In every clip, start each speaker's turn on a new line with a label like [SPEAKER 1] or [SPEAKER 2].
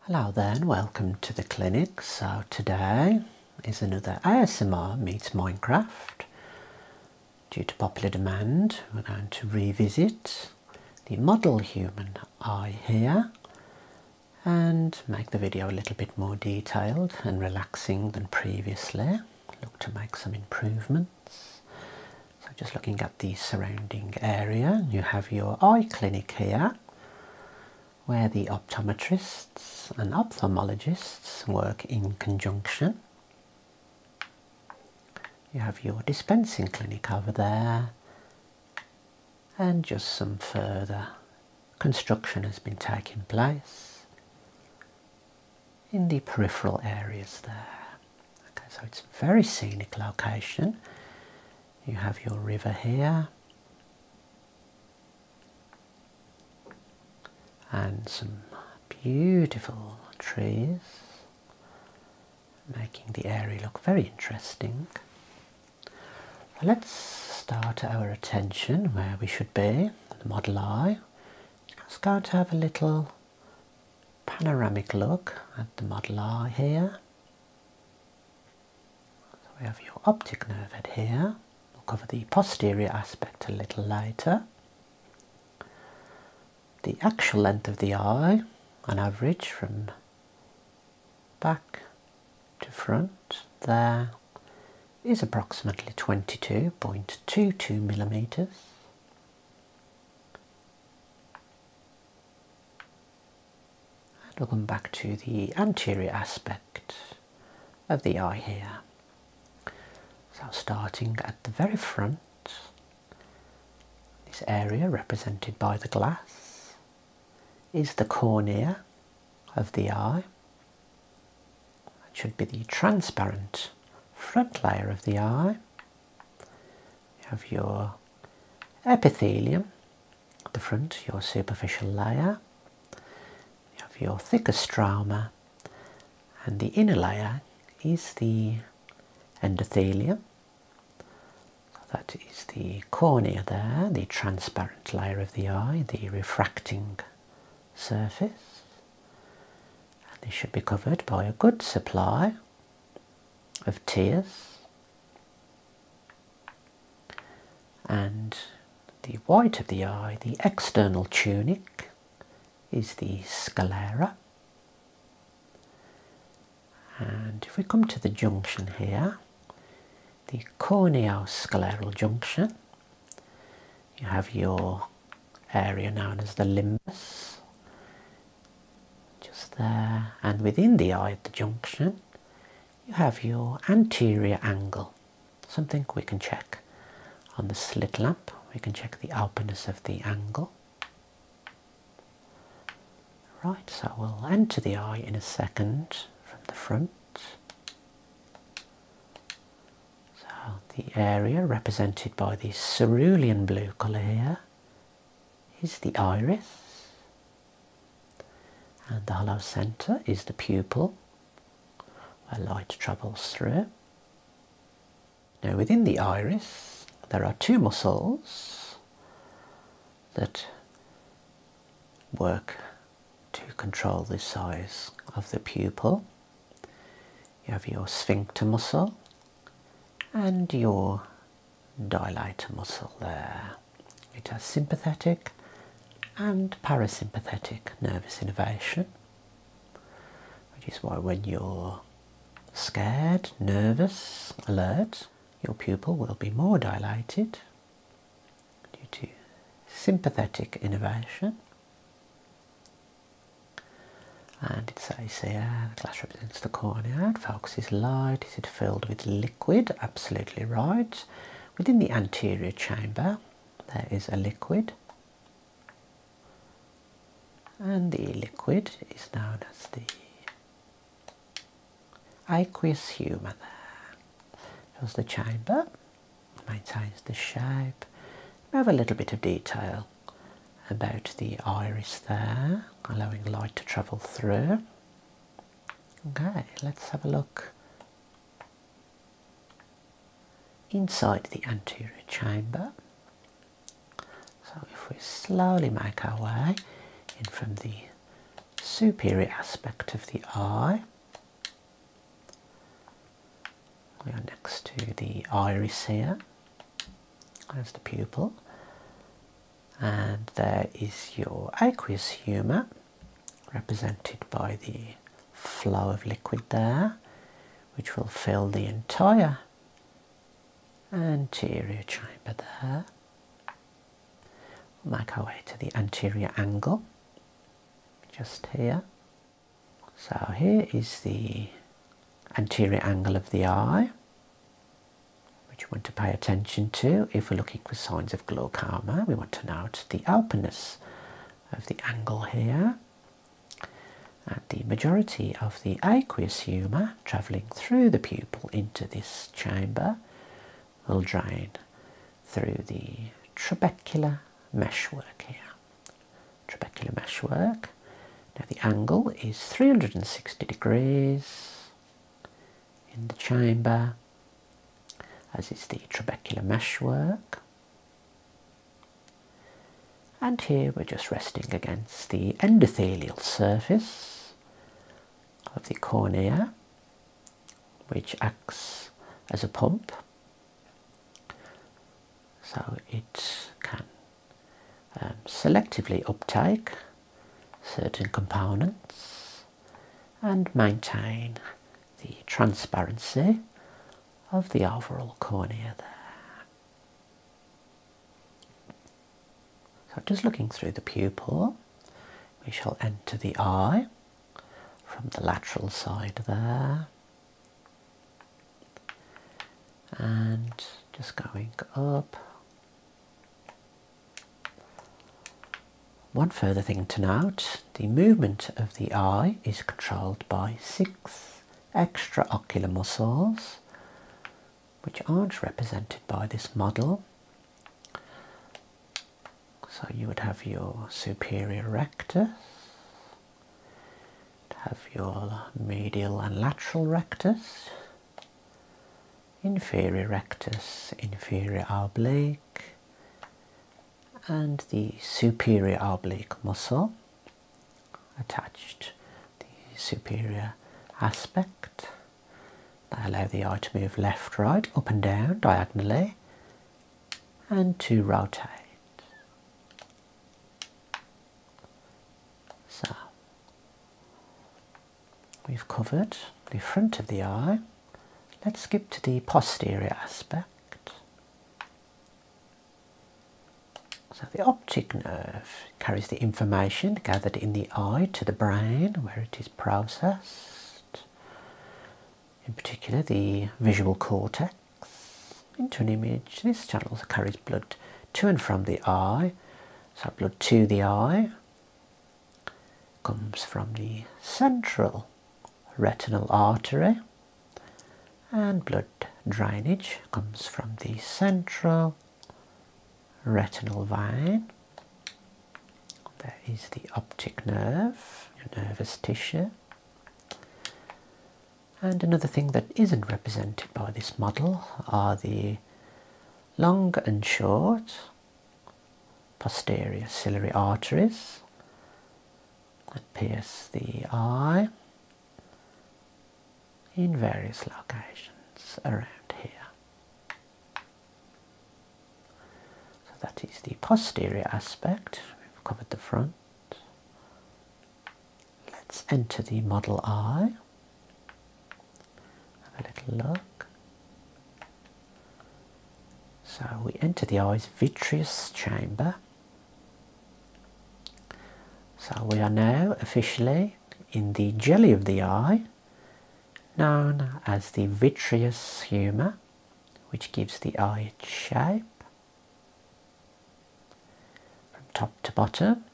[SPEAKER 1] Hello there and welcome to the clinic. So today is another ASMR meets Minecraft. Due to popular demand we're going to revisit the model human eye here and make the video a little bit more detailed and relaxing than previously. Look to make some improvements. So just looking at the surrounding area. You have your eye clinic here where the optometrists and ophthalmologists work in conjunction. You have your dispensing clinic over there and just some further construction has been taking place in the peripheral areas there. Okay, so it's a very scenic location. You have your river here. And some beautiful trees, making the area look very interesting. Let's start our attention where we should be, the model eye. It's going to have a little panoramic look at the model eye here. So we have your optic nerve head here. We'll cover the posterior aspect a little later. The actual length of the eye, on average, from back to front, there is approximately 22.22 millimeters. And we back to the anterior aspect of the eye here. So starting at the very front, this area represented by the glass is the cornea of the eye. That should be the transparent front layer of the eye. have your epithelium, the front, your superficial layer. You have your thickest stroma, and the inner layer is the endothelium. that is the cornea there, the transparent layer of the eye, the refracting surface. this should be covered by a good supply of tears and the white of the eye, the external tunic, is the sclera. And if we come to the junction here, the corneoscleral junction, you have your area known as the limbus just there and within the eye at the junction you have your anterior angle something we can check on the slit lamp we can check the openness of the angle right so we'll enter the eye in a second from the front so the area represented by the cerulean blue color here is the iris, and the hollow centre is the pupil where light travels through. Now, within the iris, there are two muscles that work to control the size of the pupil. You have your sphincter muscle and your dilator muscle there. It has sympathetic and parasympathetic nervous innervation, which is why when you're scared, nervous, alert, your pupil will be more dilated due to sympathetic innervation and it says here, the glass represents the cornea, it focuses light, is it filled with liquid? Absolutely right. Within the anterior chamber, there is a liquid. And the liquid is known as the aqueous humor It was the chamber, maintains the shape. We have a little bit of detail about the iris there, allowing light to travel through. Okay, let's have a look inside the anterior chamber. So if we slowly make our way in from the superior aspect of the eye, we are next to the iris here. There's the pupil. And there is your aqueous humour, represented by the flow of liquid there, which will fill the entire anterior chamber there. We'll make our way to the anterior angle, just here. So here is the anterior angle of the eye, which we want to pay attention to if we're looking for signs of glaucoma. We want to note the openness of the angle here and the majority of the aqueous humour travelling through the pupil into this chamber will drain through the trabecular meshwork here trabecular meshwork. Now the angle is 360 degrees in the chamber as is the trabecular meshwork. And here we're just resting against the endothelial surface of the cornea which acts as a pump so it can um, selectively uptake certain components and maintain the transparency of the overall cornea there. So just looking through the pupil, we shall enter the eye from the lateral side there and just going up. One further thing to note, the movement of the eye is controlled by six extraocular muscles which aren't represented by this model. So you would have your superior rectus, have your medial and lateral rectus, inferior rectus, inferior oblique, and the superior oblique muscle attached, the superior aspect. They allow the eye to move left, right, up and down diagonally and to rotate. So we've covered the front of the eye. Let's skip to the posterior aspect. So the optic nerve carries the information gathered in the eye to the brain where it is processed. In particular the visual cortex into an image. This channel carries blood to and from the eye. So blood to the eye comes from the central retinal artery and blood drainage comes from the central retinal vein. There is the optic nerve, your nervous tissue. And another thing that isn't represented by this model are the long and short posterior ciliary arteries that pierce the eye in various locations around here. So that is the posterior aspect. We've covered the front. Let's enter the model eye. Have a little look. So we enter the eye's vitreous chamber. So we are now officially in the jelly of the eye, known as the vitreous humor, which gives the eye its shape. From top to bottom,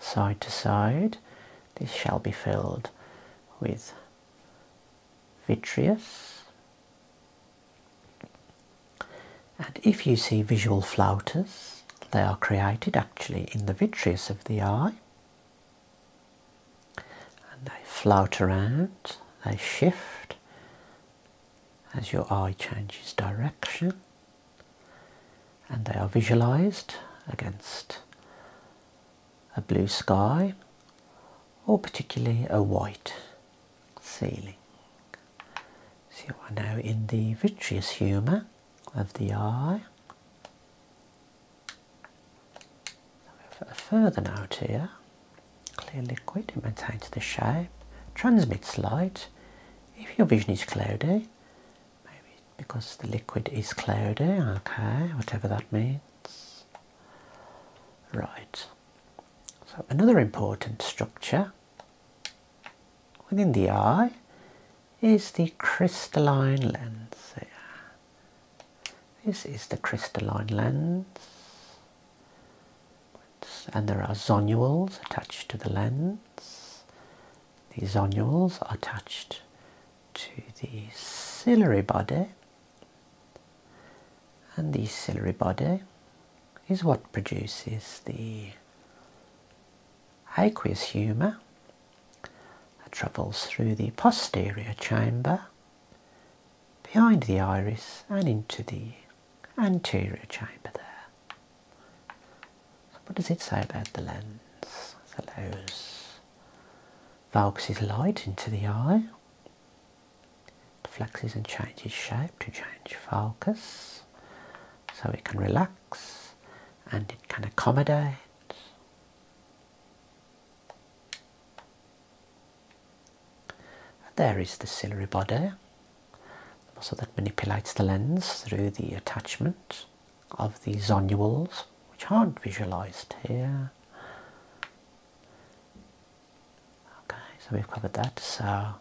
[SPEAKER 1] side to side, this shall be filled with vitreous. And if you see visual flouters, they are created actually in the vitreous of the eye. And they flout around, they shift, as your eye changes direction and they are visualized against a blue sky or particularly a white ceiling. So you are now in the vitreous humour of the eye. A further note here Clear liquid, maintains the shape, transmits light. If your vision is cloudy, maybe because the liquid is cloudy, okay, whatever that means. Right, so another important structure within the eye is the crystalline lens. This is the crystalline lens and there are zonules attached to the lens. These zonules are attached to the ciliary body, and the ciliary body is what produces the aqueous humour that travels through the posterior chamber behind the iris and into the anterior chamber there. what does it say about the lens? It allows Valx's light into the eye, flexes and changes shape to change focus, so it can relax and it can accommodate. And there is the ciliary body, the muscle that manipulates the lens through the attachment of the zonules, which aren't visualized here. Okay, so we've covered that. So,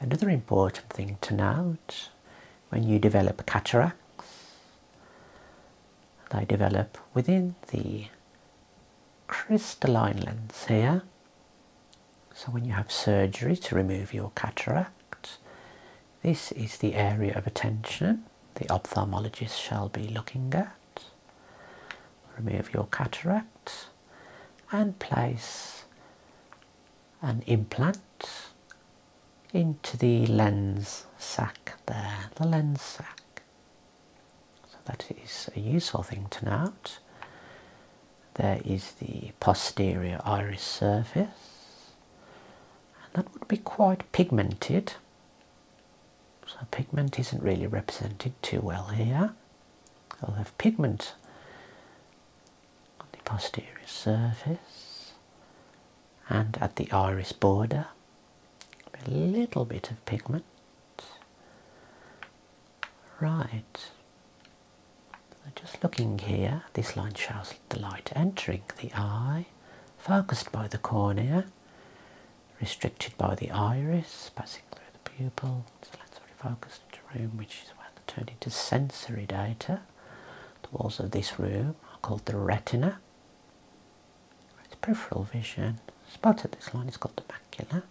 [SPEAKER 1] another important thing to note when you develop cataracts, they develop within the crystalline lens here. So when you have surgery to remove your cataract, this is the area of attention the ophthalmologist shall be looking at. Remove your cataract and place an implant into the lens sac there, the lens sac. So that is a useful thing to note. There is the posterior iris surface, and that would be quite pigmented. So pigment isn't really represented too well here. I'll have pigment on the posterior surface and at the iris border. A little bit of pigment Right. Just looking here, this line shows the light entering the eye, focused by the cornea, restricted by the iris, passing through the pupil. So let's focused into the room, which is where the turn into sensory data. The walls of this room are called the retina. It's peripheral vision spotted this line, it's called the macula.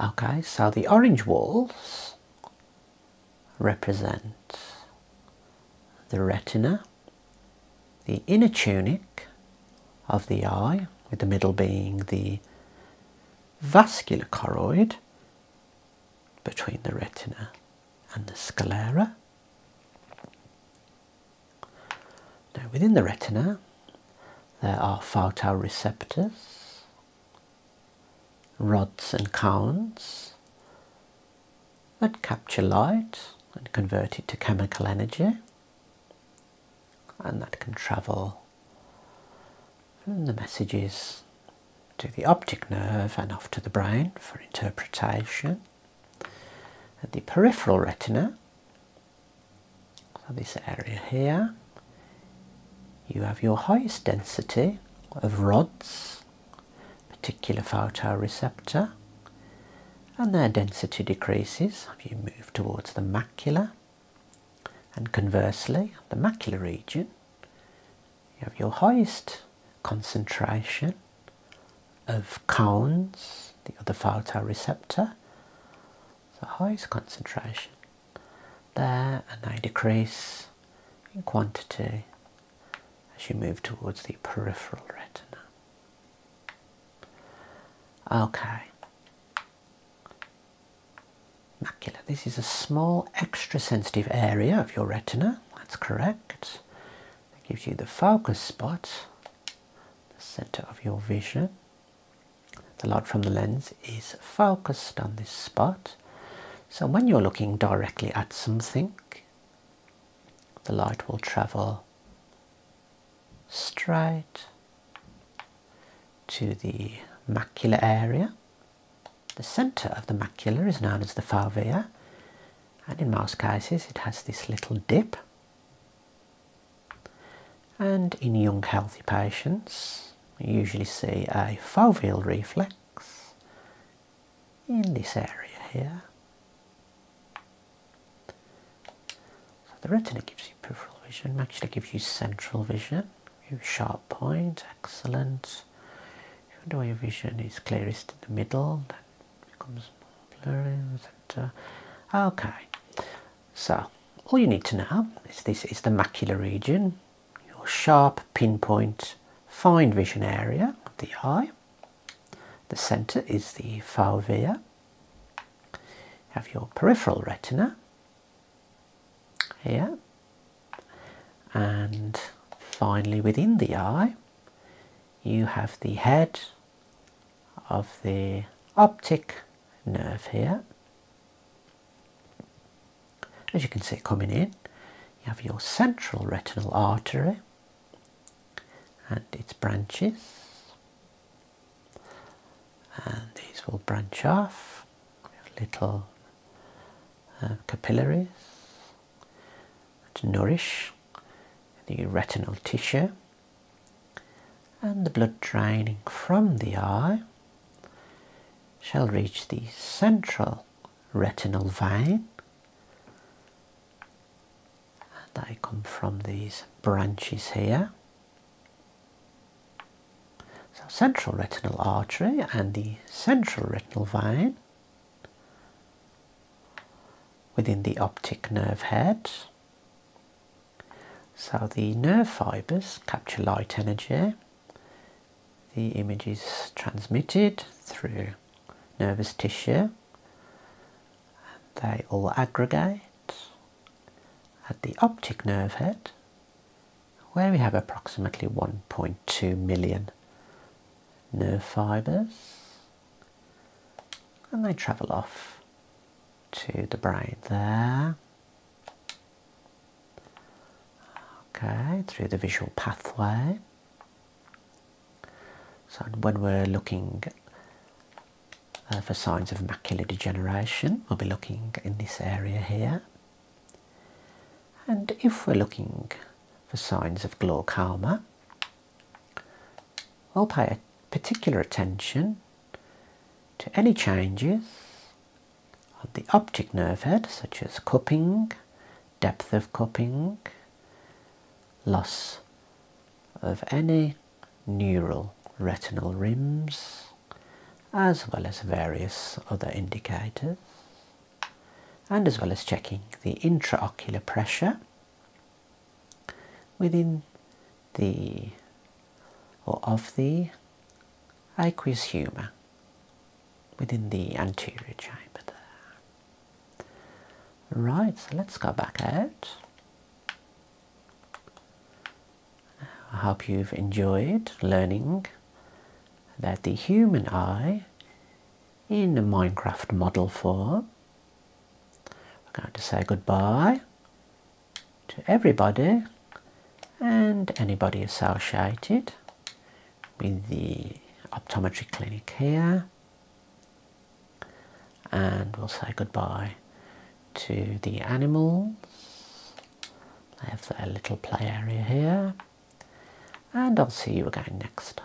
[SPEAKER 1] Okay, so the orange walls represent the retina, the inner tunic of the eye, with the middle being the vascular choroid between the retina and the sclera. Now, within the retina, there are photoreceptors, rods and cones that capture light and convert it to chemical energy, and that can travel from the messages to the optic nerve and off to the brain for interpretation. At the peripheral retina, so this area here, you have your highest density of rods, particular photoreceptor, and their density decreases as you move towards the macula. And conversely, the macular region, you have your highest concentration of cones, the other photoreceptor, the highest concentration there and they decrease in quantity as you move towards the peripheral retina. Okay, macula. This is a small extra sensitive area of your retina, that's correct. That gives you the focus spot, the center of your vision. The light from the lens is focused on this spot. So when you're looking directly at something, the light will travel straight to the macula area. The center of the macula is known as the fovea and in most cases it has this little dip and in young healthy patients, you usually see a foveal reflex in this area here. So the retina gives you peripheral vision, actually gives you central vision. sharp point, excellent. Even though your vision is clearest in the middle, That becomes more in the centre. Okay, so all you need to know is this is the macular region, your sharp pinpoint fine vision area of the eye. The centre is the fovea. have your peripheral retina here. And finally within the eye you have the head of the optic nerve here. As you can see coming in, you have your central retinal artery and its branches. And these will branch off, little uh, capillaries to nourish the retinal tissue and the blood draining from the eye shall reach the central retinal vein and they come from these branches here so central retinal artery and the central retinal vein within the optic nerve head so the nerve fibers capture light energy. The image is transmitted through nervous tissue. They all aggregate at the optic nerve head where we have approximately 1.2 million nerve fibers and they travel off to the brain there. Okay, through the visual pathway. So when we're looking uh, for signs of macular degeneration, we'll be looking in this area here. And if we're looking for signs of glaucoma, I'll pay particular attention to any changes of the optic nerve head, such as cupping, depth of cupping, loss of any neural retinal rims, as well as various other indicators, and as well as checking the intraocular pressure within the or of the aqueous humor within the anterior chamber there. Right, so let's go back out. I hope you've enjoyed learning that the human eye in the Minecraft model for. We're going to say goodbye to everybody and anybody associated with the optometry clinic here and we'll say goodbye to the animals they have their little play area here and I'll see you again next time